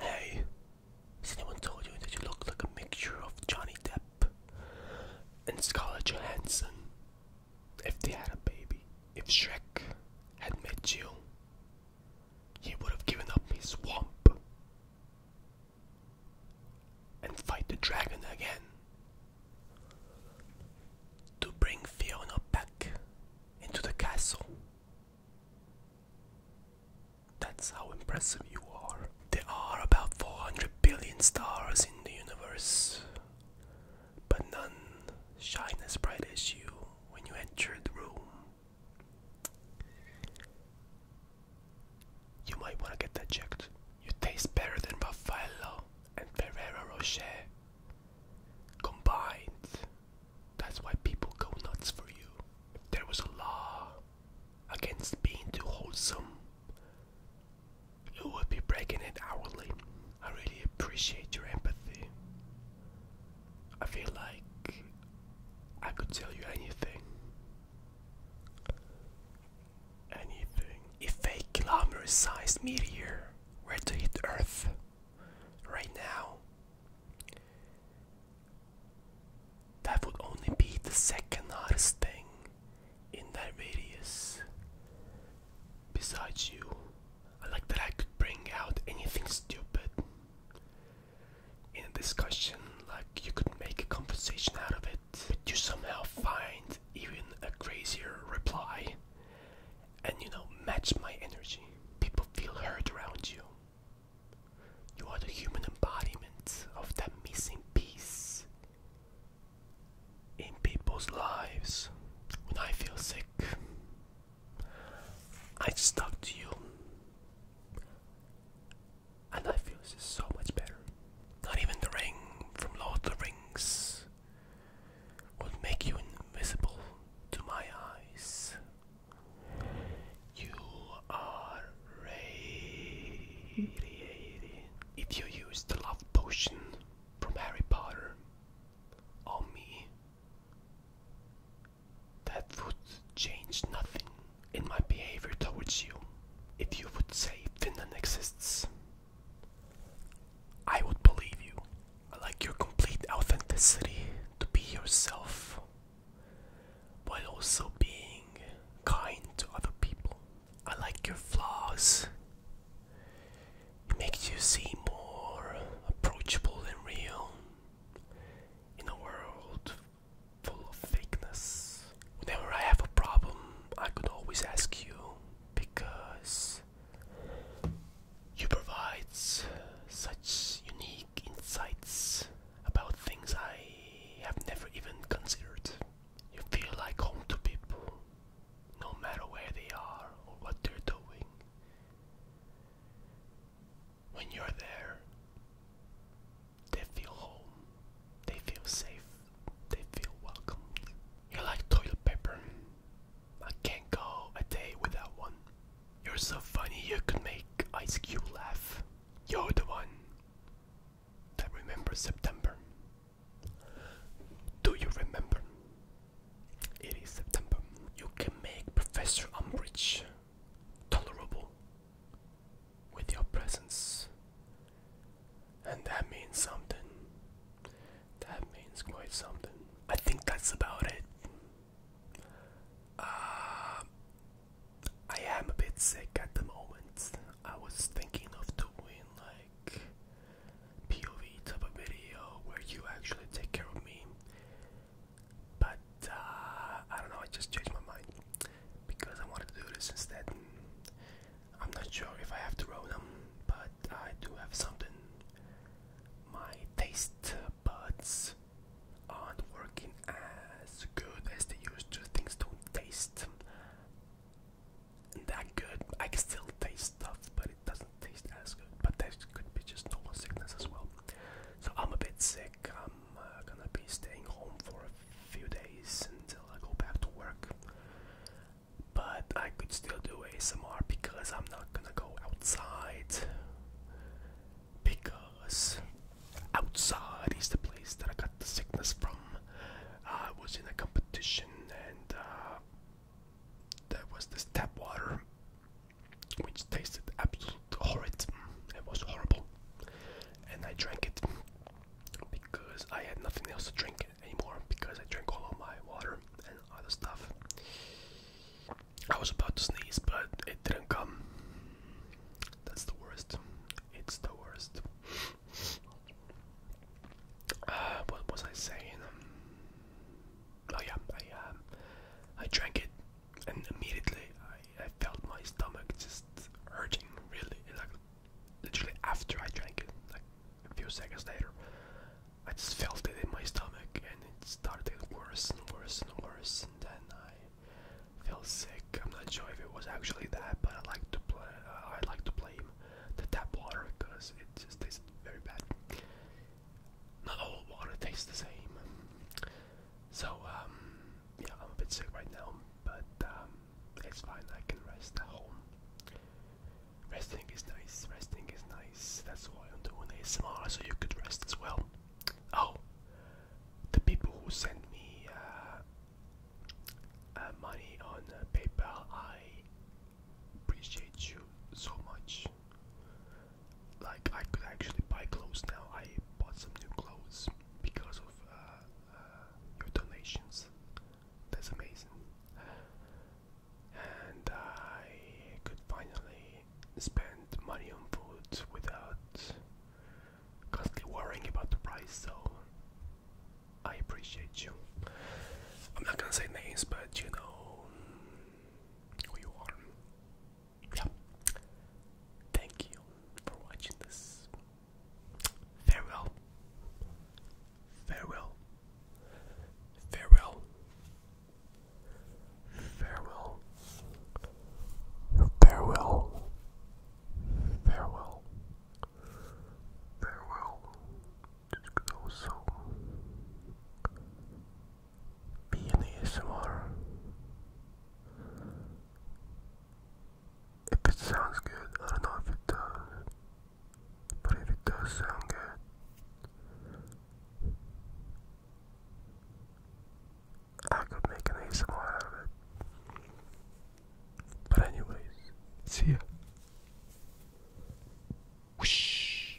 Hey, has anyone told you that you look like a mixture of Johnny Depp and Scarlett Johansson? If they had a baby, if Shrek had met you, he would have given up his swamp and fight the dragon again to bring Fiona back into the castle. That's how impressive you are. There are about 400 billion stars in the universe, but none shine as bright as you when you enter the room. You might want to get that checked. You taste better than Raffaello and Ferrero Rocher combined. That's why people go nuts for you. If there was a law against being too wholesome, you would be breaking it hourly. I really appreciate your empathy. I feel like I could tell you anything. Anything. If a kilometer sized meteor were to hit Earth, right now, that would only be the second hardest thing in that radius. Besides you, I like that I could bring out anything stupid in a discussion, like you could make a conversation out of it, but you somehow find even a crazier reply and you know, match my energy. People feel hurt around you. You are the human embodiment of that missing piece in people's lives. When I feel sick, I just talk to you, and I feel so much better. Not even the ring from Lord of the Rings would make you invisible to my eyes. You are radiated. If you use the love potion from Harry Potter on me, that would change nothing in my behavior towards you. If you would say Finland exists, I would believe you. I like your complete authenticity to be yourself while also being kind to other people. I like your flaws. It makes you seem more approachable and real in a world full of fakeness. Whenever I have a problem, I could always ask you because you provide such unique insights about things I have never even considered. You feel like home to people, no matter where they are or what they're doing. When you're there, they feel home, they feel safe they feel welcomed. You're like toilet paper. I can't go a day without one. You're so funny you can make Ice Cube laugh. You're the one that remember September. Do you remember? It is September. You can make Professor Umbridge tolerable with your presence. And that means something. That means quite something. I think that's about it. Uh, I am a bit sick at the moment. I was thinking of doing like POV type of video where you actually take care of me. But uh, I don't know, I just changed my mind because I wanted to do this instead. I'm not sure if I have to roll them, but I do have something. My taste buds aren't working as good as they used to. Things don't taste that good. I can still taste stuff, but it doesn't taste as good. But that could be just normal sickness as well. So I'm a bit sick. I'm uh, gonna be staying home for a few days until I go back to work. But I could still do ASMR because I'm not gonna go outside. Because outside is the place that I got the sickness from. I was in a competition and uh, there was this tap water which tasted absolutely horrid. It was horrible. And I drank it because I had nothing else to drink anymore because I drank all of my water and other stuff. I was about to sneeze, but it didn't come. That's the worst. It's the worst. Uh, what was I saying? Um, oh yeah, I um, I drank it and immediately I, I felt my stomach just hurting really like literally after I drank it like a few seconds later I just felt it in my stomach and it started worse and worse and worse and then I felt sick I'm not sure if it was actually that but I like to play uh, I like to blame the tap water because it just tastes very bad not all water tastes the same so um yeah, I'm a bit sick right now, but um, it's fine. I can rest at home. Resting is nice. Resting is nice. That's why I'm doing ASMR, so you could rest as well. Oh, the people who send me uh, uh, money on uh, PayPal, I appreciate you so much like I could actually buy clothes now. I bought some new clothes because of uh, uh, your donations. That's amazing. And I could finally spend money on food without constantly worrying about the price. So I appreciate you. I'm not gonna say names, but you know who you are yeah. Thank you for watching this. Farewell. Farewell. Farewell. Farewell. Farewell. Farewell. Farewell. Just go so be an ASMR. If it sounds good, I don't know if it does, but if it does sound good, I could make an ASMR out of it. But anyways, see ya. Whoosh.